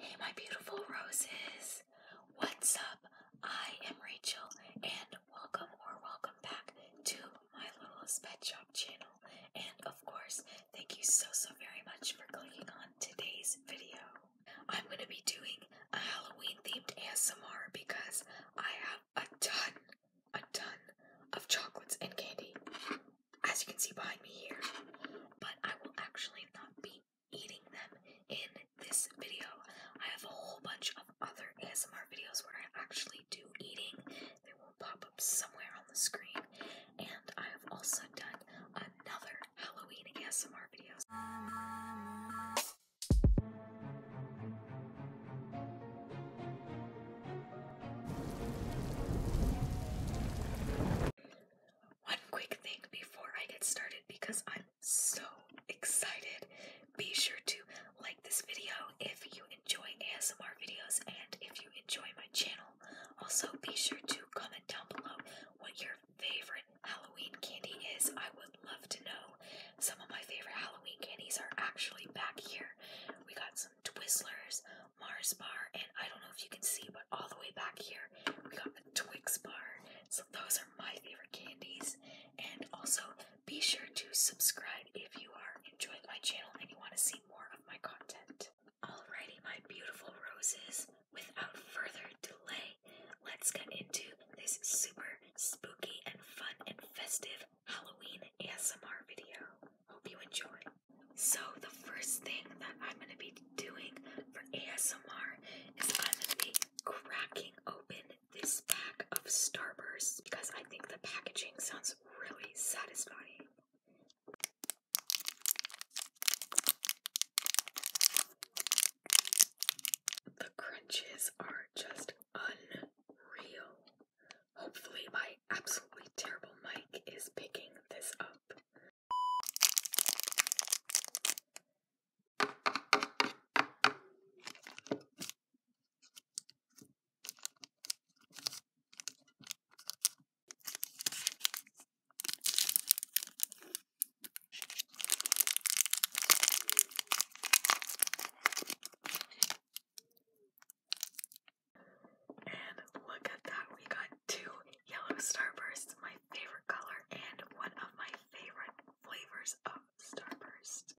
Hey, my beautiful roses. What's up? I am Rachel, and welcome or welcome back to my Lola's Pet Shop channel. And of course, thank you so, so very much for clicking on today's video. I'm going to be doing a Halloween themed ASMR because I have a ton, a ton of chocolates and candy as you can see behind me here, but I will actually not be eating them in this video. I have a whole bunch of other ASMR videos where I actually do eating. They will pop up somewhere on the screen. And I have also done another Halloween ASMR videos. One quick thing before I get started because I'm so excited. Be sure to like this video if you enjoy ASMR videos and if you enjoy my channel. Also, be sure to comment down below what your favorite Halloween candy is. I would love to know. Some of my favorite Halloween candies are actually back here. We got some Twizzlers, Mars bar, and I don't know if you can see, but all the way back here, we got the Twix bar. So those are my favorite candies. And also, be sure to subscribe if you are enjoying my channel and you want to see more of my content. Alrighty, my beautiful roses, without further delay, let's get into this super spooky and fun and festive Halloween ASMR video. Hope you enjoy. So, the first thing that I'm going to be doing for ASMR is I'm going to be cracking open this pack of Starburst because I think the packaging sounds really satisfying. The crunches are just unreal. Hopefully, my absolutely terrible mic is picking this up. And look at that, we got two yellow starbursts, my favorite color, and one of my favorite flavors of starburst.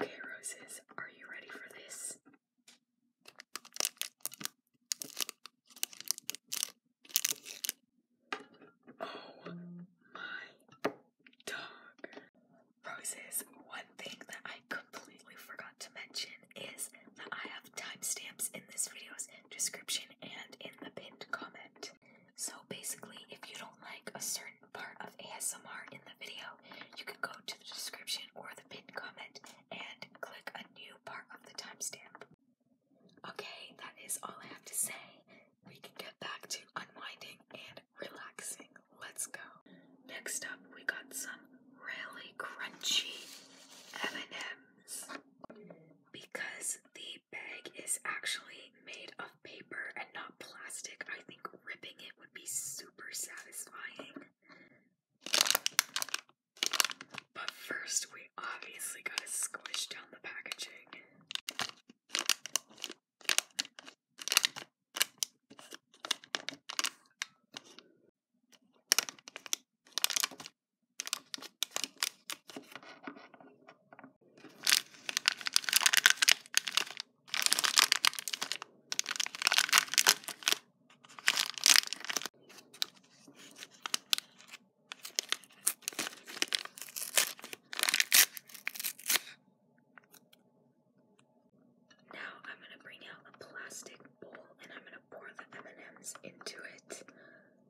Okay, roses, are you ready for this? Oh my dog. Roses, one thing that I completely forgot to mention is that I have timestamps in this video's description and in the pinned comment. So basically, if you don't like a certain part of ASMR in the video, you can go to the description or the pinned comment and click a new part of the timestamp. Okay, that is all I have to say. We can get back to unwinding and relaxing. Let's go. Next up, we got some really crunchy M&Ms. Because the bag is actually made of paper and not plastic, I think ripping it would be super satisfying. But first, we obviously gotta squish down the packaging. Now I'm going to bring out a plastic bowl and I'm going to pour the M&Ms into it.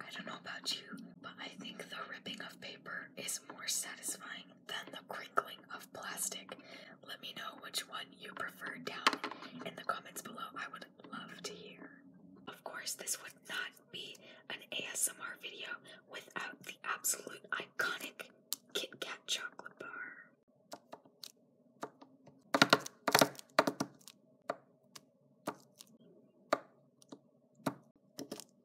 I don't know about you, but I think the ripping of paper is more satisfying than the crinkling of plastic. Let me know which one you prefer down in the comments below. I would love to hear. Of course, this would not be an ASMR video without the absolute iconic Kit Kat chocolate bar.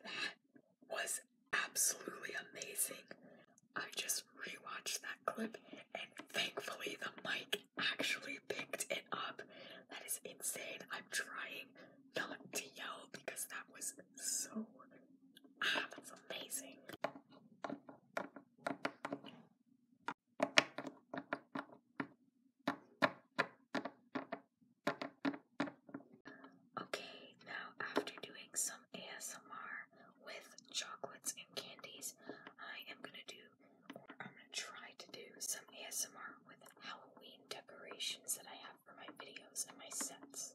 That was absolutely amazing. I just rewatched that clip and thankfully the mic actually picked it up. That is insane. I'm trying not to yell because that was so. Ah, that's amazing. Okay, now after doing some ASMR with chocolates and candies, I am gonna do, or I'm gonna try to do some ASMR with Halloween decorations that I have for my videos and my sets.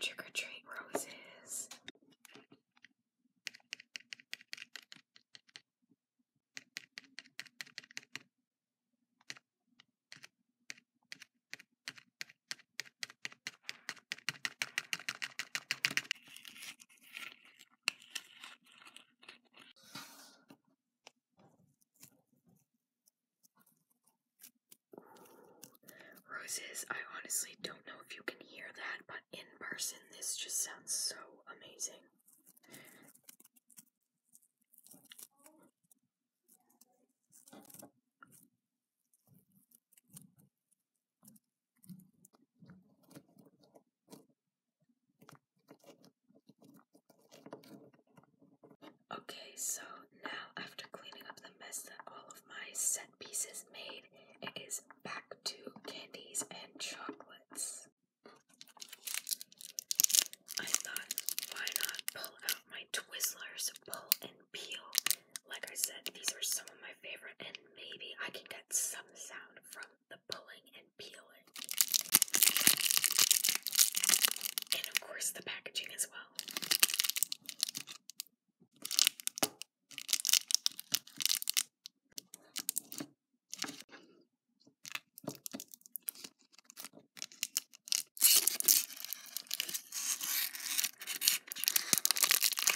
Trick or treat roses. Roses, I honestly don't know if you can hear that, but in person, this just sounds so amazing. Okay, so now after cleaning up the mess that all of my set pieces made, it is back to candies and chocolates. I thought, why not pull out my Twizzlers, pull and peel? Like I said, these are some of my favorite, and maybe I can get some sound from the pulling and peeling. And of course, the packaging as well.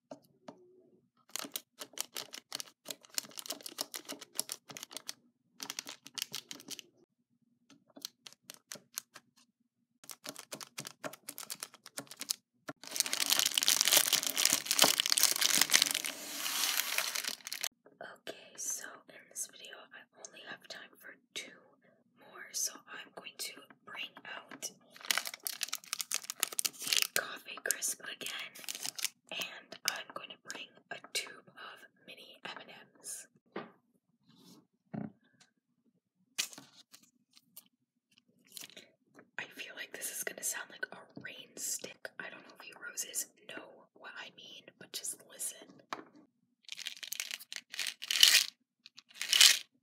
Okay, so in this video, I only have time for two more, so I'm going to bring out the coffee crisp again, and I'm going to bring a tube of mini M&Ms. I feel like this is going to sound like a rain stick. I don't know if you roses know what I mean, but just listen.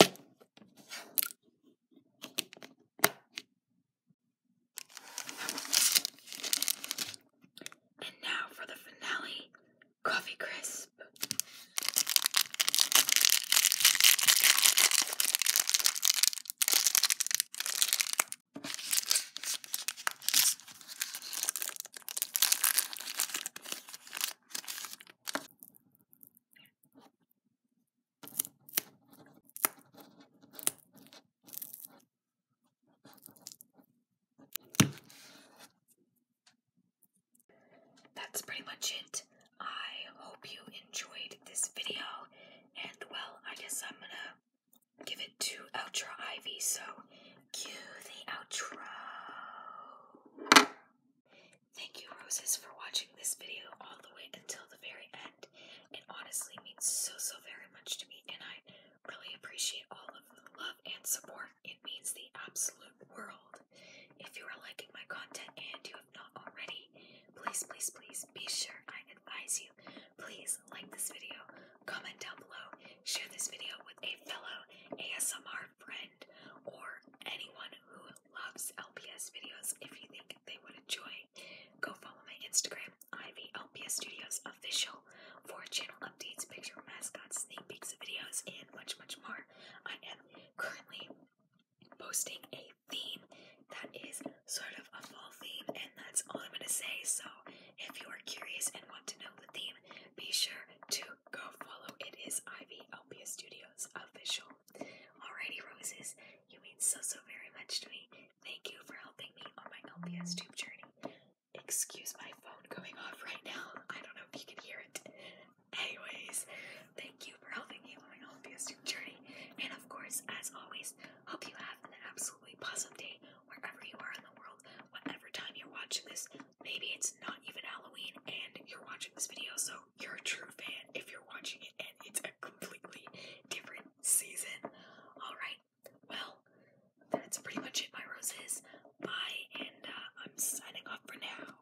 And now for the finale coffee crisp. That's pretty much it. I hope you enjoyed this video, and well, I guess I'm gonna give it to Ultra Ivy. So Cue the outro. Thank you, Roses, for watching this video all the way until the very end. It honestly means so, so very much to me, and I really appreciate all of the love and support. It means the absolute world. If you are liking my content and you have not already, please, please, please be sure I advise you. Please like this video, comment down below, share this video with a fellow ASMR friend or anyone who loves LPS videos if you think they would enjoy. Go follow my Instagram, Ivy Studios Official, for channel updates, picture mascots, sneak peeks of videos, and much, much more. I am currently posting a theme that is sort of a fall theme, and that's all I'm going to say. So, if you are curious and want to know the theme, be sure to go follow. It is Ivy Alpia Studios official. Alrighty, roses, you mean so so very much to me. Thank you for helping me on my LPS tube journey. Excuse my phone going off right now. I don't know if you can hear it. Anyways, thank you for helping me on my LPS tube journey. And of course, as always, hope you have an absolutely awesome day wherever you are in the world, whatever time you're watching this maybe it's not even Halloween and you're watching this video, so you're a true fan if you're watching it and it's a completely different season. Alright, well, that's pretty much it, my roses. Bye, and uh, I'm signing off for now.